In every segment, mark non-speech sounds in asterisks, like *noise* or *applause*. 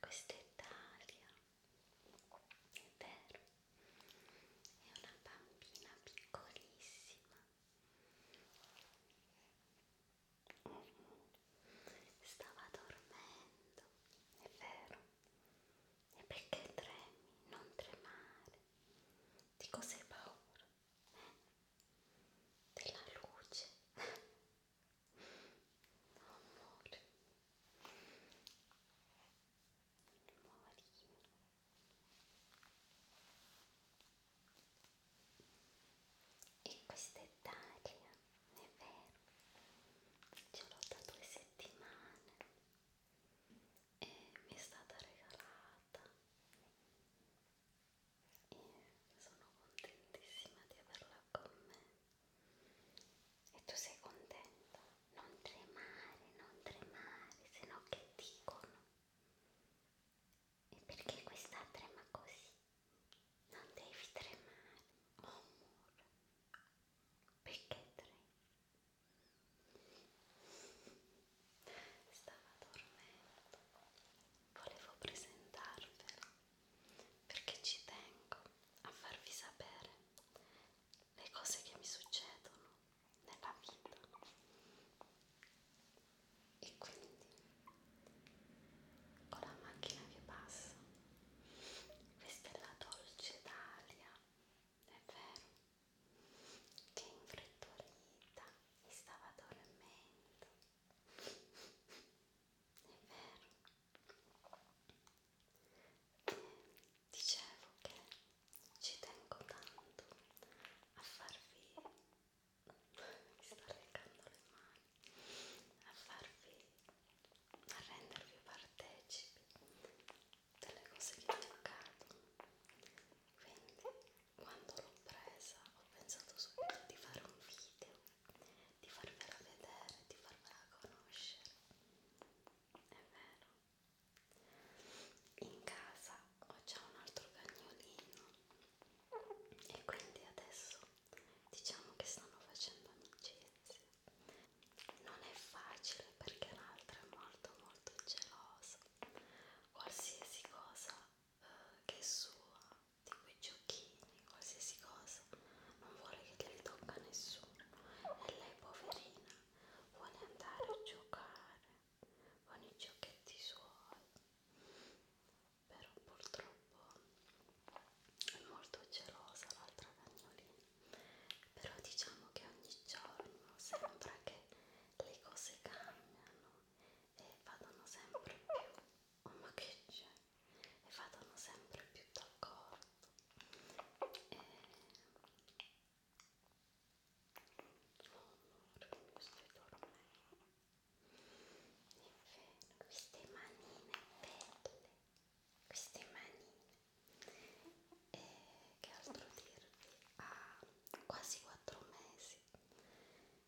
Questa Italia, è vero, è una bambina piccolissima. Stava dormendo, è vero. E perché tremi? Non tremare. Di cosa hai paura? Eh? Della luce. *laughs* Amore. Amorino. E questa è Daria, è vero, ce l'ho da due settimane e mi è stata regalata e sono contentissima di averla con me e tu sei contento, non tremare, non tremare, se no che dicono? E perché questa trema così? Non devi tremare, amore, perché tremi? Stava dormendo, volevo presentarvela perché ci tengo a farvi sapere le cose che mi succedono nella vita e quindi con la macchina che passa questa è la dolce Italia è vero che infrettolita mi stava dormendo vero. E dicevo che ci tengo tanto a farvi mi sto leccando le mani a farvi a rendervi partecipi delle cose che mi accadono quindi quando l'ho presa ho pensato subito di fare un video di farvela vedere, di farvela conoscere. È vero. In casa ho già un altro cagnolino e quindi adesso diciamo che stanno facendo amicizia. Non è facile perché l'altra è molto molto gelosa. Qualsiasi cosa eh, che è sua di quei giochini, qualsiasi cosa, non vuole che le tocca nessuno e lei poverina vuole andare a giocare con i giochetti suoi, però purtroppo è molto gelosa l'altra cagnolina, però diciamo che ogni giorno sembra che le cose cambiano e vadano sempre più. Oh ma che c'è? e vadano sempre più d'accordo e... Eh, amore mio stai dormendo Inferno. queste manine belle queste manine e eh, che altro dirvi ha ah, quasi 4 mesi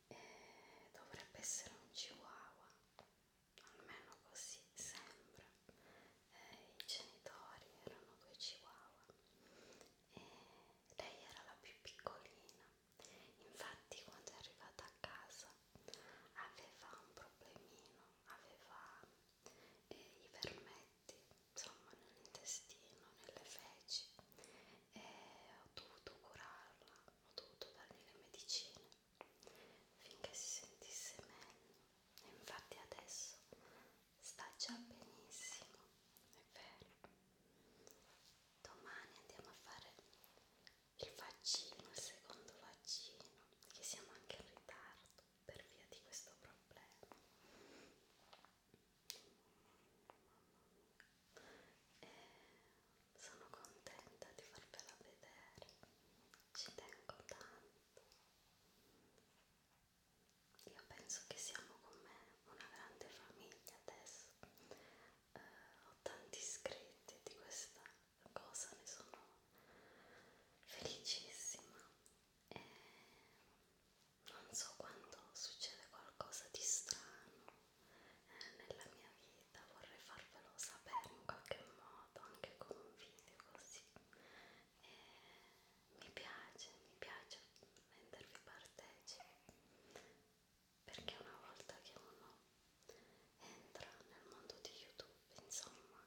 e eh, dovrebbe essere un chihuahua almeno così sembra. Eh, I genitori erano due chihuahua e lei era la più piccolina. Infatti quando è arrivata a casa aveva un problemino, aveva eh, i vermetti, insomma nell'intestino, nelle feci e ho dovuto curarla, ho dovuto dargli le medicine finché si sentisse meglio e infatti adesso sta già benissimo è vero domani andiamo a fare il vaccino il secondo vaccino che siamo anche in ritardo per via di questo problema e eh, sono contenta di farvela vedere, ci tengo tanto. Io penso che siamo con me una grande famiglia adesso, eh, ho tanti iscritti di questa cosa, ne sono felicissima e non so quando succede qualcosa di strano nella mia vita, vorrei farvelo sapere in qualche modo, anche con un video così. E mi piace, mi piace rendervi partecipi, perché una volta che uno entra nel mondo di YouTube, insomma,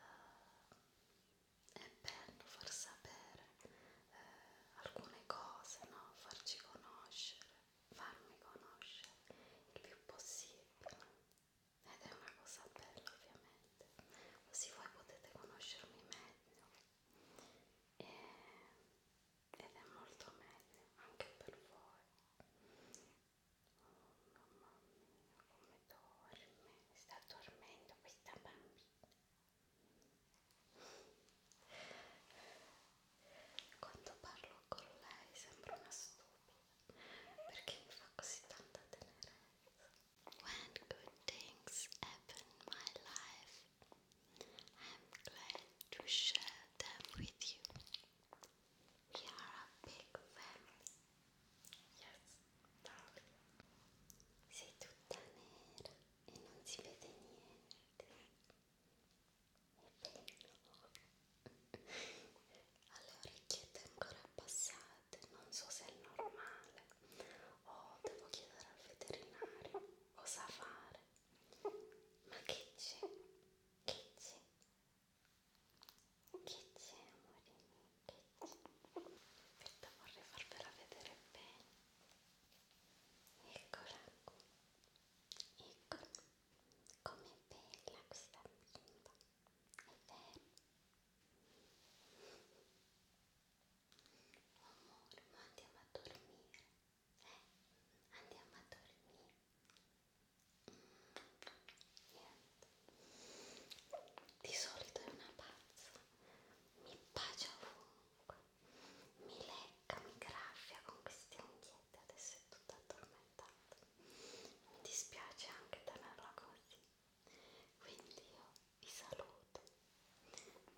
eh, è bello far sapere eh, alcune cose, no? farci conoscere farmi conoscere il più possibile ed è una cosa bella ovviamente così voi potete conoscermi meglio e, ed è molto meglio anche per voi oh mamma mia come dorme sta dormendo questa bambina quando parlo con lei sembra una stupida perché mi fa così tanta tenerezza. When good things happen in my life, I'm glad to share them with you. We are a big family. Yes, darling. Sei tutta nera e non si vede niente alle orecchiette ancora abbassate, non so se è normale o oh, devo chiedere al veterinario cosa fare. Ma che c'è? Che c'è? Che c'è, amore mio? Che c'è? Aspetta, vorrei farvela vedere bene. Eccola qui. Eccola. Com'è bella questa bimba, è vero? Amore, ma andiamo a dormire, eh? Andiamo a dormire. Niente. Di solito è una pazza, mi bacia ovunque, mi lecca, mi graffia con queste unghie niente, adesso è tutta addormentata. Mi dispiace anche tenerla così. Quindi io vi saluto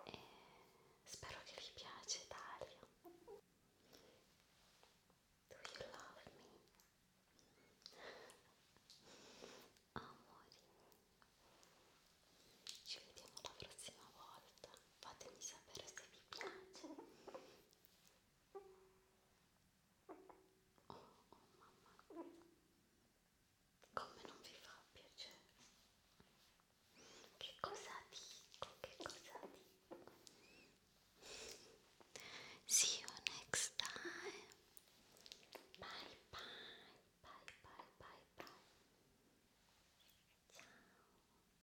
e spero che vi piace Dario. Do you love me? Amori, ci vediamo la prossima volta. Fatemi sapere se vi piace Oh, oh, mamma, come non vi fa piacere? Che cosa dico? Che cosa dico? See you next time. Bye bye, bye bye, bye bye. Ciao.